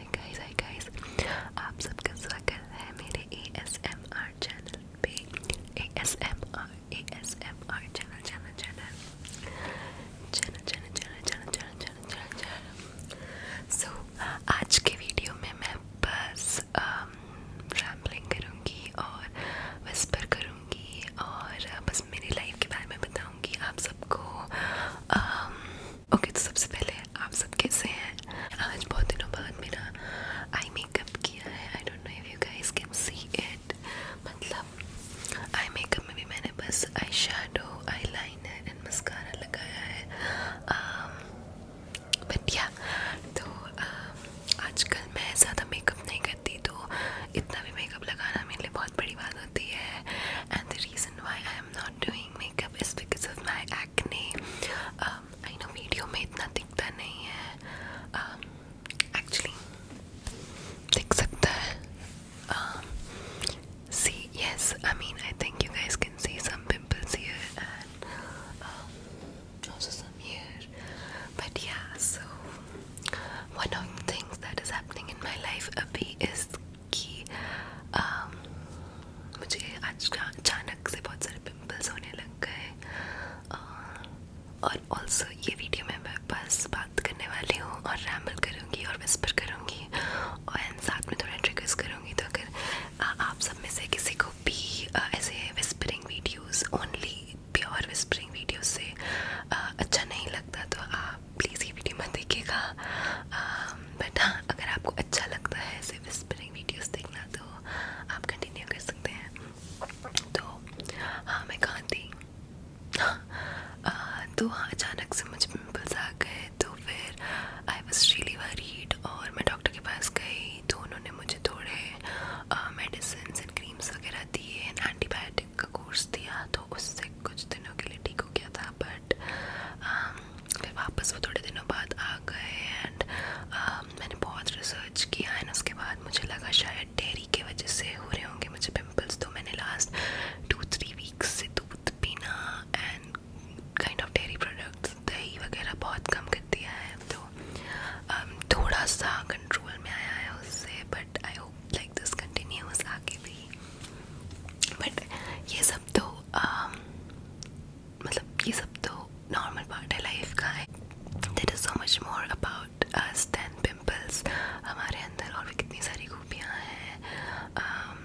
है guys hi guys आप सबका स्वागत है मेरे ASMR चैनल पे ASMR ASMR channel channel channel channel channel channel channel channel channel channel channel so आज के वीडियो में मैं बस रैम्बलिंग um, करूँगी और विस्पर करूँगी और बस मेरी लाइफ के बारे में बताऊँगी आप सबको um, ओके okay, तो सबसे पहले आप सब कैसे हैं आज बहुत दिनों बाद मेरा आई मेकअप किया है I don't know if you guys can see it मतलब आई मेकअप में भी मैंने बस eyeshadow eyeliner and mascara लगाया है बट um, या yeah, तो um, आजकल मैं ज़्यादा मेकअप नहीं करती तो इतना भी मेकअप लगाना मेरे लिए बहुत बड़ी बात होती है and the reason why I am not doing makeup is because of my acne. Um, I know video में इतना दिखता नहीं actually, दिख सकता um, see, yes, I mean, I think you guys can see some pimples here and um, also some here. But yeah, so one of the things that is happening in my life, Abhi, is कि आ, मुझे आज अचानक से बहुत सारे pimples होने लग गए और ऑल्सो ये वीडियो में मैं बस बात करने वाली हूँ और रैम्बल करूँगी और विस्पर करूँगी और साथ में थोड़ा ट्रिगर्स करूँगी तो अगर आ, आप सब में से किसी को भी आ, ऐसे whispering videos only pure whispering video से आ, अच्छा नहीं लगता तो आप प्लीज़ ये वीडियो मत देखिएगा बट हाँ अगर आपको अच्छा लगता है ऐसे विस्परिंग वीडियोस देखना तो आप कंटिन्यू कर सकते हैं तो हाँ मैं कहाँ थी हाँ तो हाँ अचानक से मुझे पिम्पल्स आ गए तो फिर आई वॉज रियली वरीड और मैं डॉक्टर के पास गई तो उन्होंने मुझे थोड़े मेडिसिन एंड क्रीम्स वगैरह दिए एंड एंटीबायोटिक का कोर्स दिया तो उससे कुछ दिनों के लिए ठीक हो गया था बट um, फिर वापस वो थोड़े दिनों बाद आ गए एंड uh, um, मैंने बहुत रिसर्च किया एंड उसके बाद मुझे लगा शायद डेयरी के वजह से हो रहे होंगे मुझे पिम्पल्स तो मैंने लास्ट टू थ्री वीक्स से दूध पीना and kind of dairy products दही वगैरह बहुत कम कर दिया है तो um, थोड़ा सा कंट्रोल में आया है उससे but I hope like this continues आगे भी बट ये सब सब तो um, मतलब ये सब तो नॉर्मल पार्ट है लाइफ का है there is so much more about us than pimples हमारे अंदर और भी कितनी सारी खूबियाँ हैं um,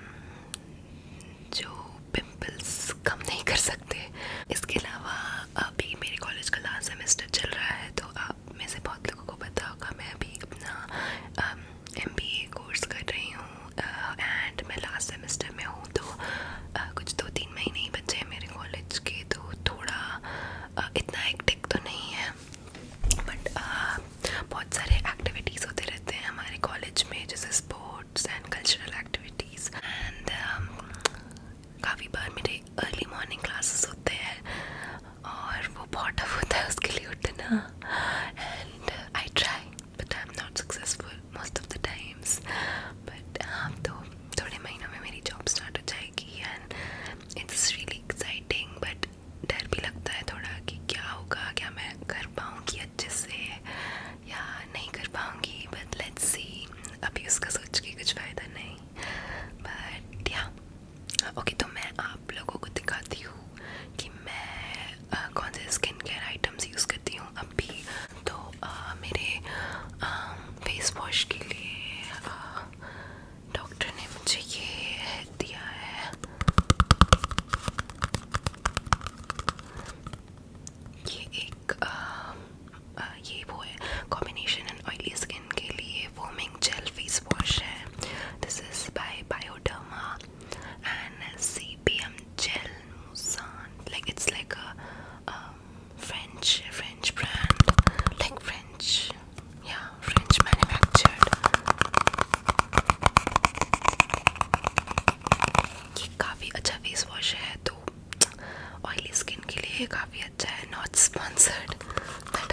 जो पिम्पल्स कम नहीं कर सकते इसके अलावा अभी मेरे कॉलेज का लास्ट सेमेस्टर चल रहा है तो आप में से बहुत लोगों को पता होगा मैं अभी अपना एम बी ए कोर्स कर रही हूँ एंड मैं लास्ट सेमेस्टर में हूँ तो uh, कुछ दो तीन महीने ही बचे हैं मेरे कॉलेज के तो थोड़ा uh, इतना एक्टिक तो नहीं है बट uh, बहुत सारे एक्टिविटीज़ होते रहते हैं हमारे कॉलेज में जैसे sports and cultural activities and काफ़ी बार मेरे अर्ली मॉर्निंग क्लासेस होते हैं और वो बहुत टफ होता है उसके लिए उठना and I try but I'm not successful most of the times but um, तो थोड़े महीनों में मेरी जॉब स्टार्ट हो जाएगी and it's really exciting but डर भी लगता है थोड़ा कि क्या होगा क्या मैं कर पाऊँगी अच्छे से या नहीं कर पाऊँगी बट लेट्स अभी उसका सोच के कुछ फ़ायदा नहीं बट या ओके तो मैं आप लोगों को दिखाती हूँ हूँ कि मैं आ, कौन से स्किन केयर आइटम्स यूज़ करती हूँ अभी तो आ, मेरे फेस वॉश के लिए डॉक्टर ने मुझे ये दिया है ये एक आ, आ, ये वो है कॉम्बिनेशन एंड ऑयली स्किन के लिए फोमिंग जेल फेस वॉश है this is by Bioderma and CPM Gel Moussan. Like it's like a um, French French brand, like French, yeah, French manufactured. ये काफी अच्छा फेस वॉश है तो oily skin के लिए काफी अच्छा है नॉट स्पॉन्सर्ड बट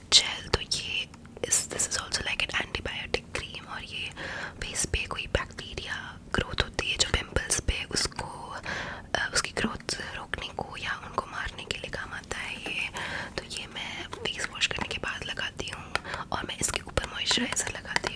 जेल तो ये this is also like an antibiotic cream और ये फेस पे कोई बैक्टीरिया ग्रोथ होती है जो पिम्पल्स पे उसको उसकी ग्रोथ रोकने को या उनको मारने के लिए काम आता है ये तो ये मैं फेस वॉश करने के बाद लगाती हूँ और मैं इसके ऊपर मॉइस्चराइज़र लगाती हूँ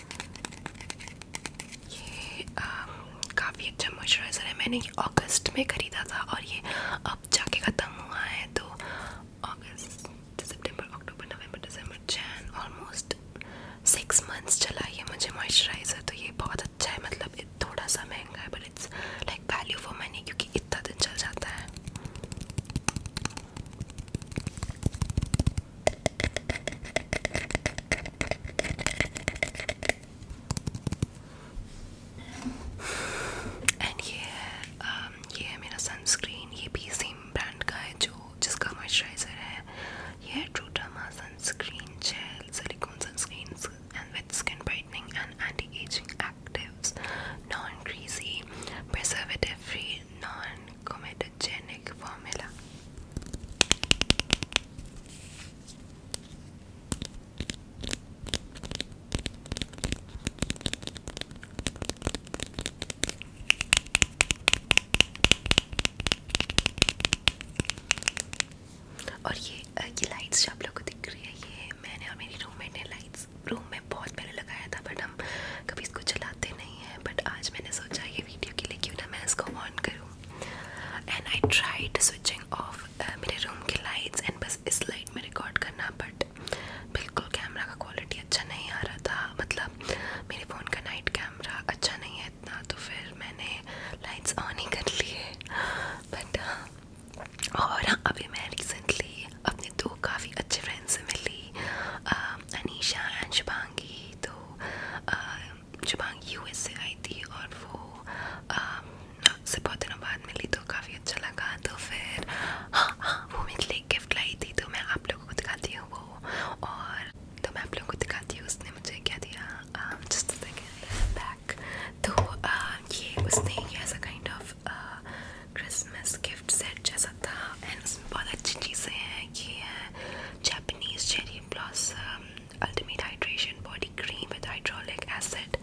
ये काफ़ी अच्छा मॉइस्चराइज़र है मैंने ये अगस्त में ख़रीदा था और ये अब जाके ख़त्म हुआ है तो अगस्त सितंबर अक्टूबर नवंबर दिसंबर जैन ऑलमोस्ट सिक्स मंथ्स चला ये मुझे मॉइस्चराइज़र तो ये बहुत अच्छा है मतलब थोड़ा सा महंगा है but it's like value for money क्योंकि इतना दिन चल जाता है एंड ये um, ये मेरा सनस्क्रीन ये भी सेम ब्रांड का है जो जिसका मॉइस्चराइजर है ये ट्रूटामा sunscreen gel silicone sunscreen and with skin brightening and anti ageing actives non greasy preservative free non comedogenic formula. और ये ये लाइट्स जो आप लोगों को दिख रही है ये मैंने और मेरी रूममेट ने लाइट्स रूम में बहुत पहले लगाया था बट हम कभी इसको चलाते नहीं नहीं है बट आज मैंने सोचा ये वीडियो के लिए क्यों ना मैं इसको ऑन करूँ and I tried switching off मेरे रूम की लाइट्स एंड बस इस लाइट में रिकॉर्ड करना बट बिल्कुल कैमरा का क्वालिटी अच्छा नहीं आ रहा था मतलब मेरे फ़ोन का नाइट कैमरा अच्छा नहीं है इतना तो फिर मैंने लाइट्स ऑन ही कर लिए बट हाँ, और हाँ, अभी मैं रिसेंटली अपने दो काफ़ी अच्छे फ्रेंड से मिली अनीशा एंड शुभांगी थी तो जुबांग यूएस से आई थी और वो बहुत दिनों बाद मिली तो काफ़ी अच्छा लगा तो फिर हाँ हाँ वो मेरे लिए गिफ्ट लाई थी तो मैं आप लोगों को दिखाती हूँ वो और तो मैं आप लोगों को दिखाती हूँ उसने मुझे क्या दिया जस्ट बैक तो आ, ये उसने ये ऐसा kind of Christmas gift set जैसा था एंड उसमें बहुत अच्छी चीज़ें हैं ये है Japanese Cherry Blossom Ultimate Hydration Body Cream with Hyaluronic Acid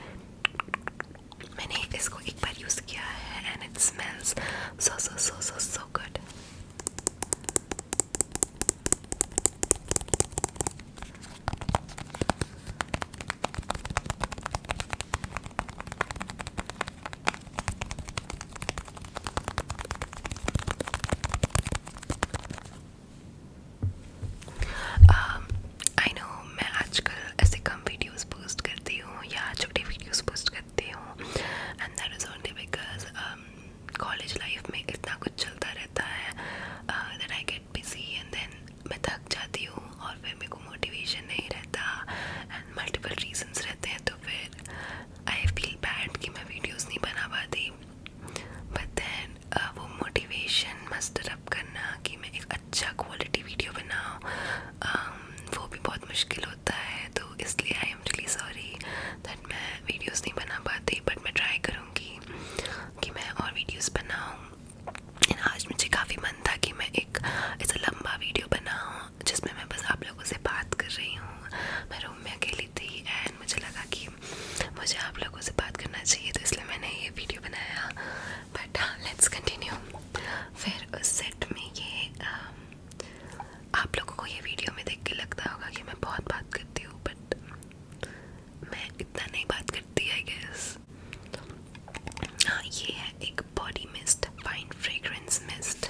मैंने इसको एक बार use and it smells so so so so so good I um, no मैं आजकल ऐसे कम वीडियोस पोस्ट करती हूँ या छोटे वीडियोस पोस्ट करती हूँ and that is only because college life में इतना कुछ चलता रहता है that I get busy and then मैं थक जाती हूँ और फिर मेरे को मोटिवेशन नहीं रहता एंड मल्टीपल रीजंस रहते हैं तो फिर आई फील बैड कि मैं वीडियोस नहीं बना पाती बट दैन uh, वो मोटिवेशन मस्टर अप करना कि मैं एक अच्छा क्वालिटी वीडियो बनाऊँ um, वो भी बहुत मुश्किल होता है तो इसलिए I am really sorry that मैं वीडियोस नहीं बना पाती बट मैं ट्राई करूँगी कि मैं और वीडियोस बनाऊँ आज मुझे काफ़ी मन था कि मैं एक ऐसा लंबा वीडियो बनाऊँ जिसमें मैं बस आप लोगों से बात कर रही हूँ मैं रूम में अकेली थी एंड मुझे लगा कि मुझे आप लोगों से बात करना चाहिए तो इसलिए मैंने ये वीडियो बनाया बट हाँ लेट्स कंटिन्यू फिर उस सेट में ये आ, um, आप लोगों को ये वीडियो में देख के लगता होगा कि मैं बहुत बात करती हूँ बट मैं इतना नहीं बात करती आई गेस हाँ ये है एक body mist fine fragrance mist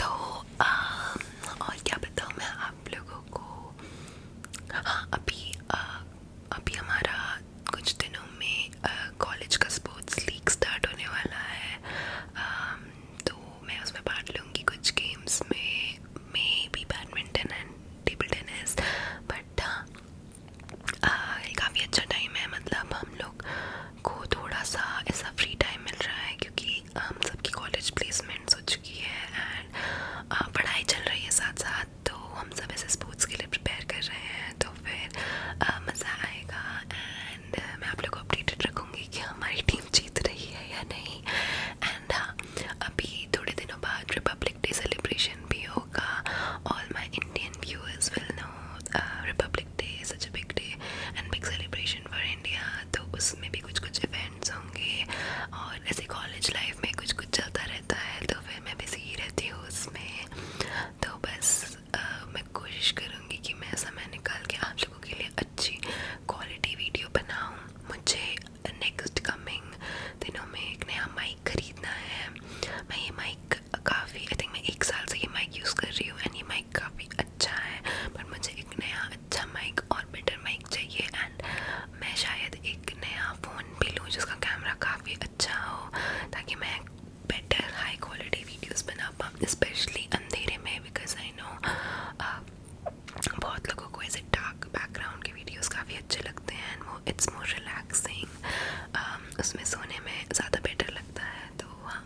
तो आ, और क्या बताऊँ मैं आप लोगों को हाँ अभी आ, अभी हमारा कुछ दिनों में कॉलेज का स्पोर्ट्स लीग स्टार्ट होने वाला है आ, तो मैं उसमें पार्ट लूँगी कुछ गेम्स में may be badminton and table tennis but काफ़ी अच्छा टाइम है मतलब हम लोग को थोड़ा सा ऐसा फ्री टाइम मिल रहा है क्योंकि हम सबकी कॉलेज प्लेसमेंट्स हो चुकी है एंड पढ़ाई चल रही है साथ साथ तो हम सब ऐसे स्पोर्ट्स के लिए प्रिपेयर कर रहे हैं तो फिर मज़ा आएगा एंड मैं आप लोग को अपडेटेड रखूँगी कि हमारी टीम जीत रही है या नहीं एंड हाँ अभी थोड़े दिनों बाद रिपब्लिक डे सेलिब्रेशन भी होगा all my Indian viewers will know Republic Day such a big day and big celebration foundation for India तो उसमें भी कुछ कुछ इवेंट्स होंगे और ऐसे कॉलेज लाइफ में कुछ कुछ चलता रहता है तो फिर मैं बिजी ही रहती हूँ उसमें तो बस आ, मैं कोशिश करूँगी कि मैं समय निकाल के आप लोगों के लिए अच्छी क्वालिटी वीडियो बनाऊँ मुझे नेक्स्ट कमिंग दिनों में एक नया माइक खरीदना है मैं ये माइक काफ़ी आई थिंक मैं एक साल से ये माइक यूज़ कर रही हूँ एंड ये माइक माइक काफ़ी अच्छा है पर मुझे एक नया अच्छा माइक और बेटर माइक चाहिए एंड मैं शायद एक नया फ़ोन भी लूँ जिसका कैमरा काफ़ी अच्छा हो ताकि मैं बेटर हाई क्वालिटी वीडियोस बना पाऊँ स्पेशली अंधेरे में बिकॉज आई नो बहुत लोगों को ऐसे डार्क बैकग्राउंड के वीडियोस काफ़ी अच्छे लगते हैं एंड वो इट्स मोर रिलैक्सिंग उसमें सोने में ज़्यादा बेटर लगता है तो हाँ